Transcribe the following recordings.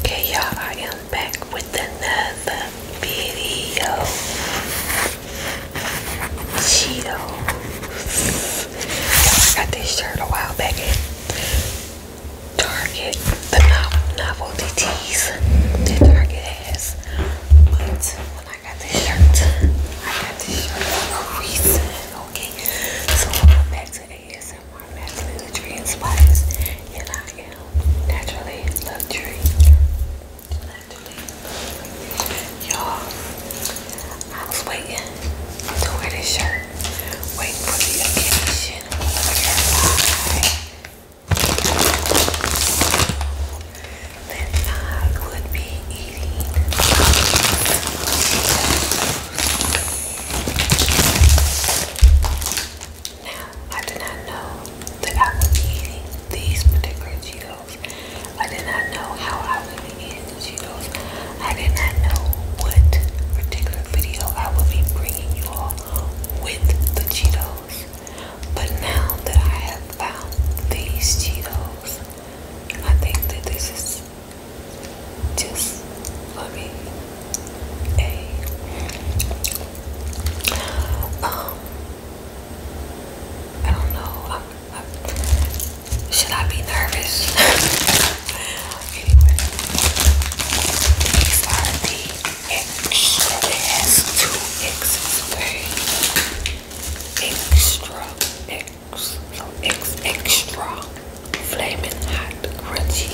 Okay, y'all, I am back with another video. Cheetos. I got this shirt a while back Target, the novelty tees that Target has. But I got this shirt. I got this shirt for a reason, okay? So i back to ASMR, naturally luxury and spice, and I am naturally luxury. Naturally, y'all. I was waiting to wear this shirt, waiting for the occasion then I would be eating now I did not know that I would be eating these particular Cheetos I did not know how I would be eating the Cheetos I did not know what particular video I would be bringing you all with the Cheetos but now that I have found these Cheetos, I think that this is just for me. Hey. Um, I don't know. should I be nervous? anyway, extra. It has two X's, okay? Extra, X, no, X, extra, flaming hot, crunchy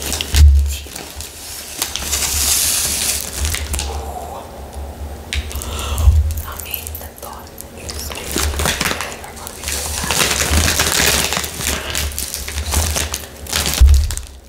Cheetos. Ooh. I mean, the thought is they are going to be so hot.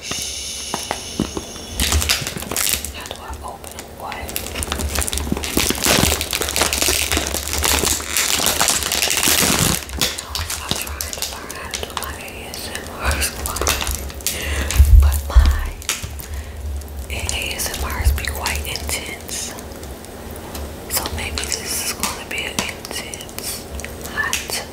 Shh. How do I open it? What? I'm trying to learn how to do ASMR but my ASMRs be quite intense. So maybe this is going to be an intense, hot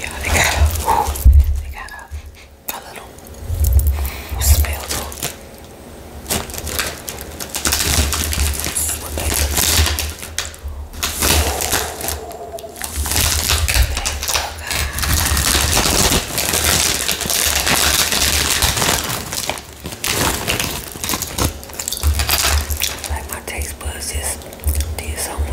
Yeah, they got a, they got a, a little smell to like my taste buds just did something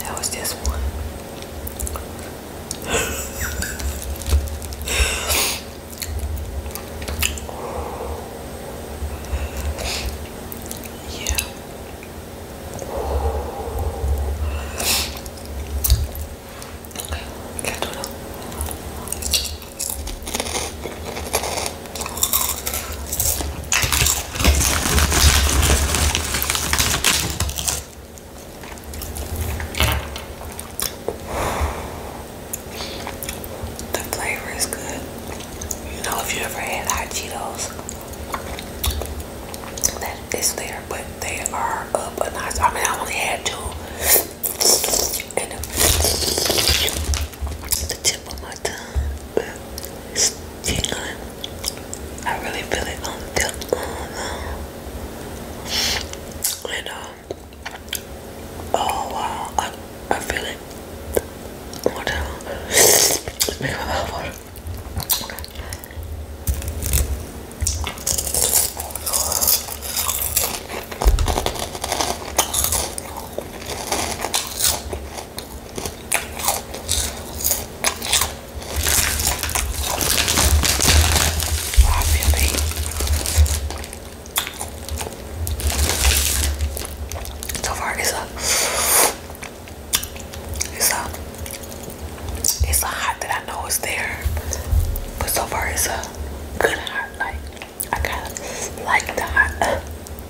That was just one. yeah. Okay, got to know. The flavor is good. You know, if you ever had hot Cheetos, that is there, but they are up a notch. I mean, I only had two, the tip of my it's tingling. Uh, I really feel it on the oh uh, no. And um, oh wow I I feel it one more time. It's my mouth water. Obviously, so far it's a it's a it's a hot that I know is there, but so far it's a good hot. Like I kind of like that.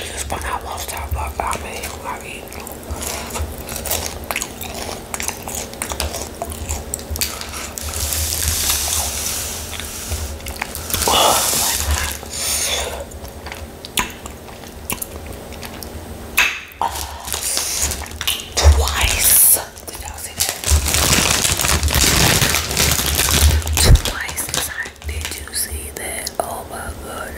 This when I lost how much I made mean, Twice. Did y'all see that? Twice Did you see that? Oh my god!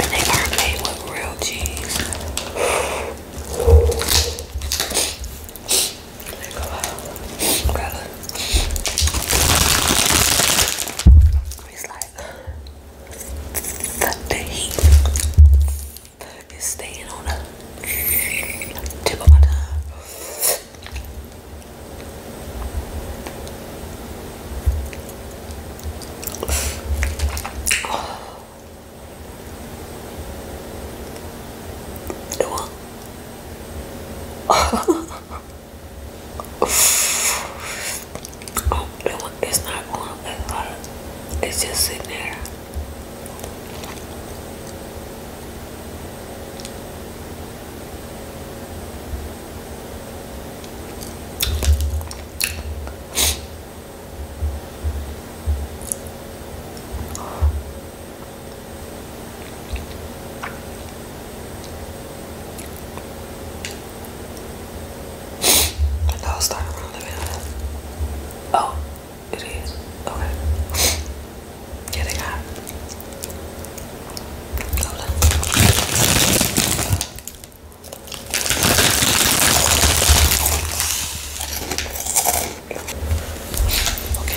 And they are made with real cheese the, heat is staying on the tip of my tongue. Oh. Um, it's not going as It's just sitting there. I know it's starting around the middle. Oh, it is. Okay. Yeah, they got Hold on. Okay.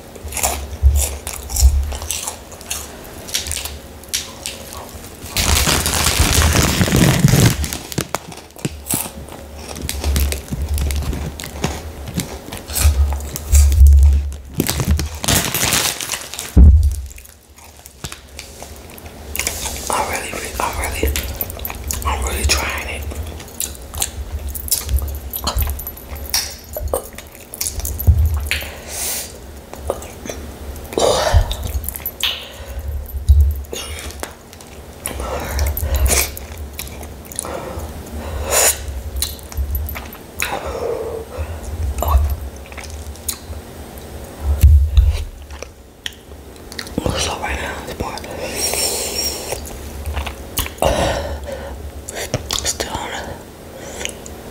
I'm really, I'm really, I'm really trying it. So right now it's more still on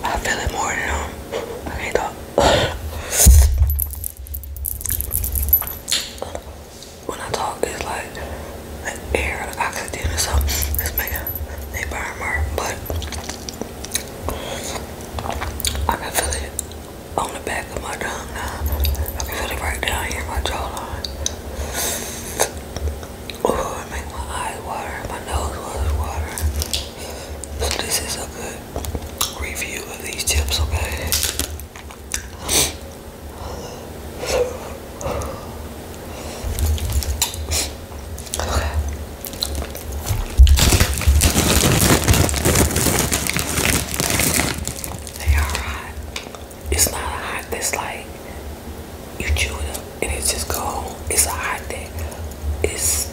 I feel it more than um, I can't talk. when I talk, it's like an air, like oxygen or something. It's making they burn more, but I can feel it on the back of my tongue now. I can feel it right down here, my jawline. Oh, it made my eyes water, my nose was watering. So this is a good review of these chips, okay? Okay. They are hot. It's not hot that's like you chew it up and it's just cold. It's a hot thing. It's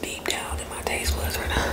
deep down in my taste buds right now.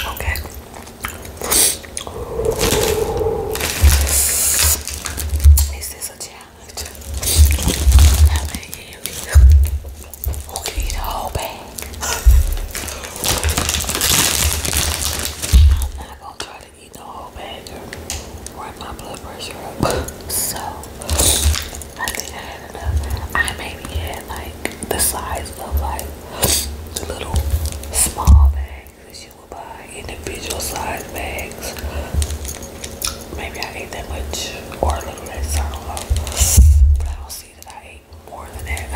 Okay. Is this a challenge? I mean, yeah, yeah. Who can eat a whole bag? I'm not gonna try to you know, better brought my blood pressure up. So I think I had enough. I maybe had like the size of like the little small bags you would buy, individual size bags. Maybe I ate that much or a little less, I don't know. But I don't see that I ate more than that.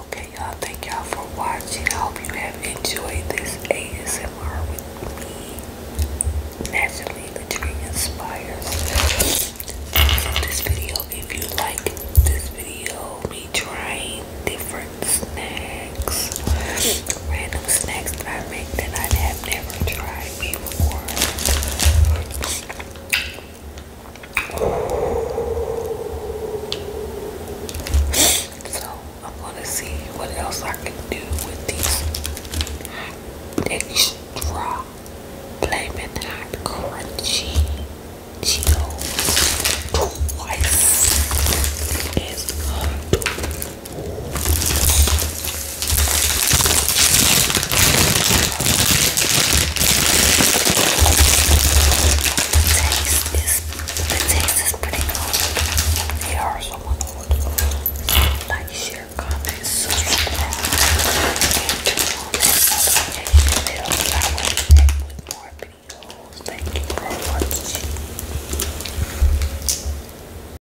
Okay, y'all. Thank y'all for watching. I hope you have enjoyed this ASMR with me. Naturally, the tree inspires. This video, if you like this video, me trying different snacks, random snacks that I made that I have never tried before. So I'm gonna see what else I can do with these extra flaming hot crunchy Cheetos twice as good taste is the taste is pretty good. There are someone would like share comments, subscribe, and to more videos. Thank you for watching.